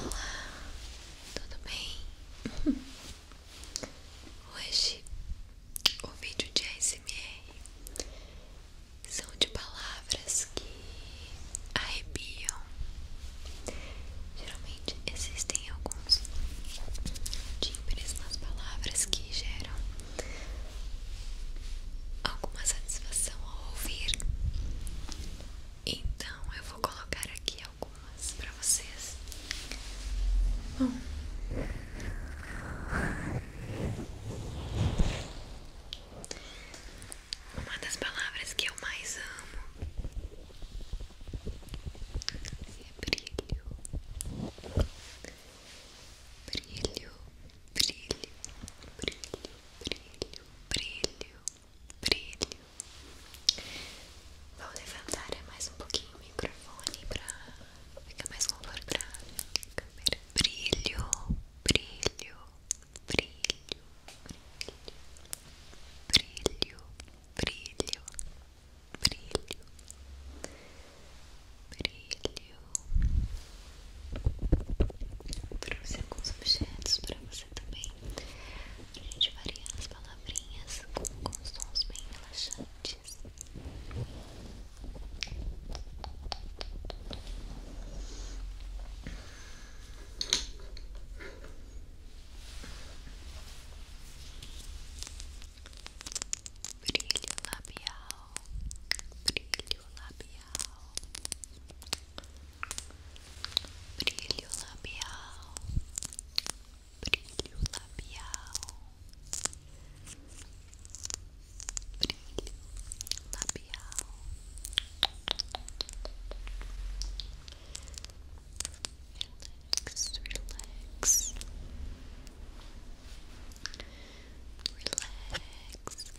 Olá, tudo bem? Hoje o vídeo de ASMR são de palavras que arrepiam. Geralmente existem alguns timbres nas palavras que geram alguma satisfação ao ouvir. Então eu vou colocar aqui algumas para vocês. Bom. Uma das palavras que eu mais amo é brilho. Brilho, brilho, brilho, brilho, brilho, brilho. Vou levantar mais um pouquinho o microfone para ficar mais confortável. Brilho, brilho, brilho, brilho, brilho, brilho, brilho, brilho. Trouxe alguns objetos para você também. A gente variar as palavrinhas com, com sons bem relaxantes. Brilho labial, brilho o labial, brilho labial, brilho labial, brilho labial. Relax, relax, relax,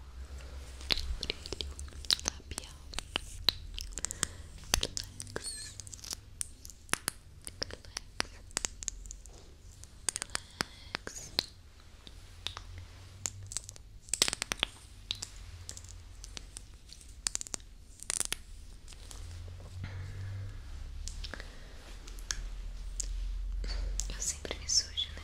brilho labial, relax, relax, relax. Eu sempre me sujo, né?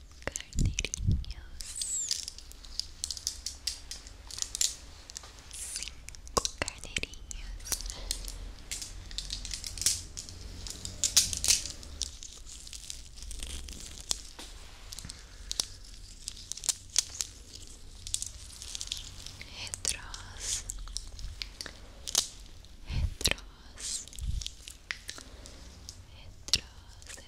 carnerillos cinco carnerillos Retros Retros etros,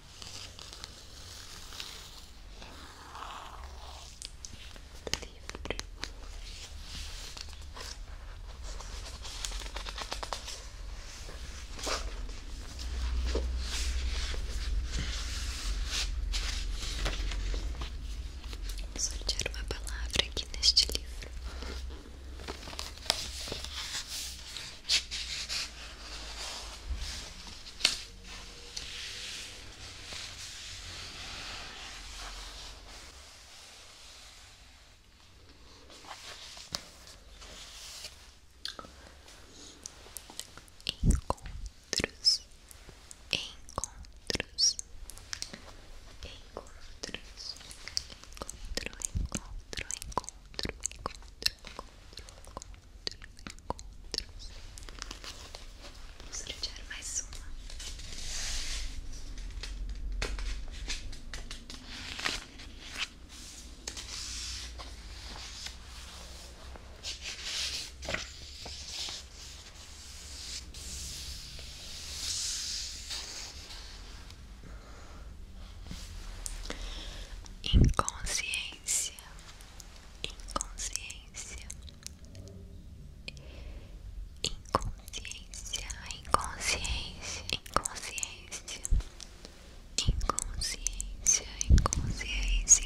Vou sortear uma palavra aqui neste livro. Encontros, encontros, encontros, encontro, encontro, encontro, encontro, encontros, encontros. Vamos sortear mais uma. Inconsciência, inconsciência, inconsciência, inconsciência, inconsciência, inconsciência, inconsciência, inconsciência,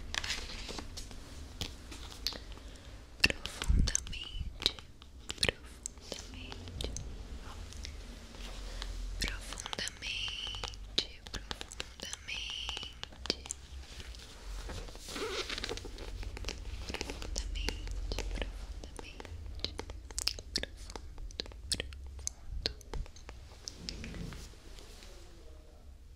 profundamente, profundamente, profundamente, profundamente, profundamente, profundamente, profundo, profundo.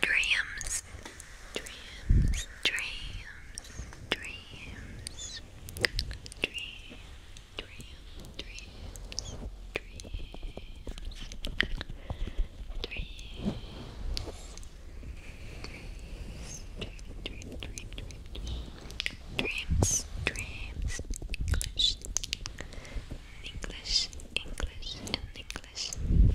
Dreams, dreams, dreams, dreams, dream, dream, dreams, dreams, dreams. Dream, dream, Dreams, dreams, English, English, English, English.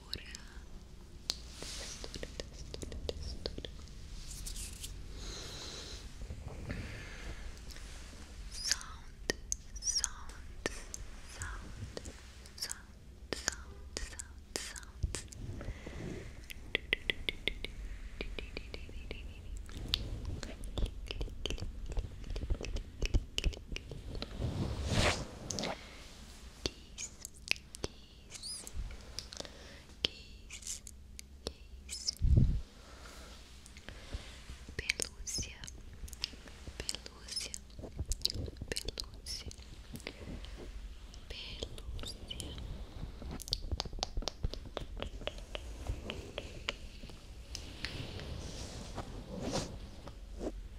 testura, testura, Sound, sound, sound, sound, sound, sound, sound. Kiss, kiss, kiss, kiss. Pelúcia, pelúcia, pelúcia, pelúcia. Pelúcia,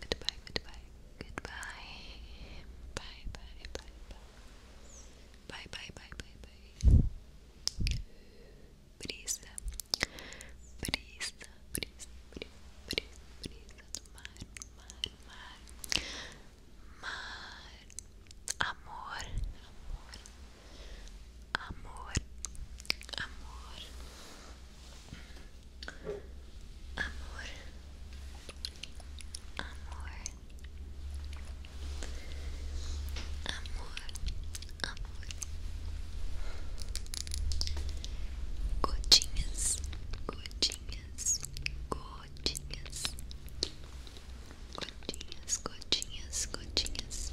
Goodbye, goodbye, goodbye. Bye, bye, bye, bye. Bye, bye, bye, bye, bye. Brisa, brisa, brisa, brisa, brisa, brisa do mar, mar, mar. Mar, amor, amor. amor, amor, amor, amor, amor, amor, gotinhas, gotinhas, gotinhas. Gotinhas, gotinhas, gotinhas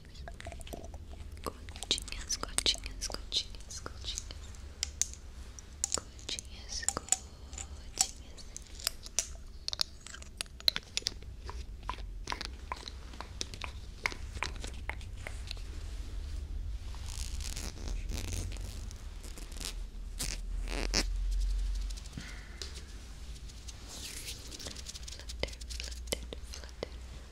Gotinhas, gotinhas, gotinhas, gotinhas. Gotinhas, gotinhas. Flutter, flutter, flutter.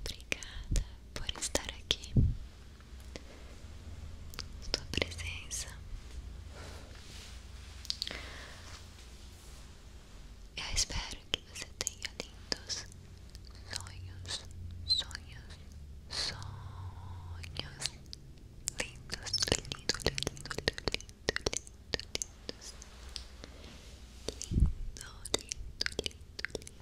Obrigada por estar aqui. Sua presença Eu espero que você tenha lindos sonhos, sonhos, sonhos lindos, lindos, lindos, lindos, lindos, lindos, lindo, lindo, lindo, lindo.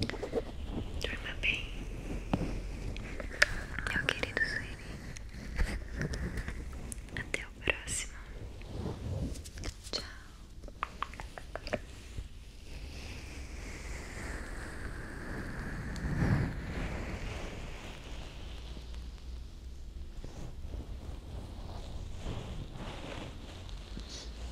Durma bem, meu querido Sueli. Até o próximo. Tchau.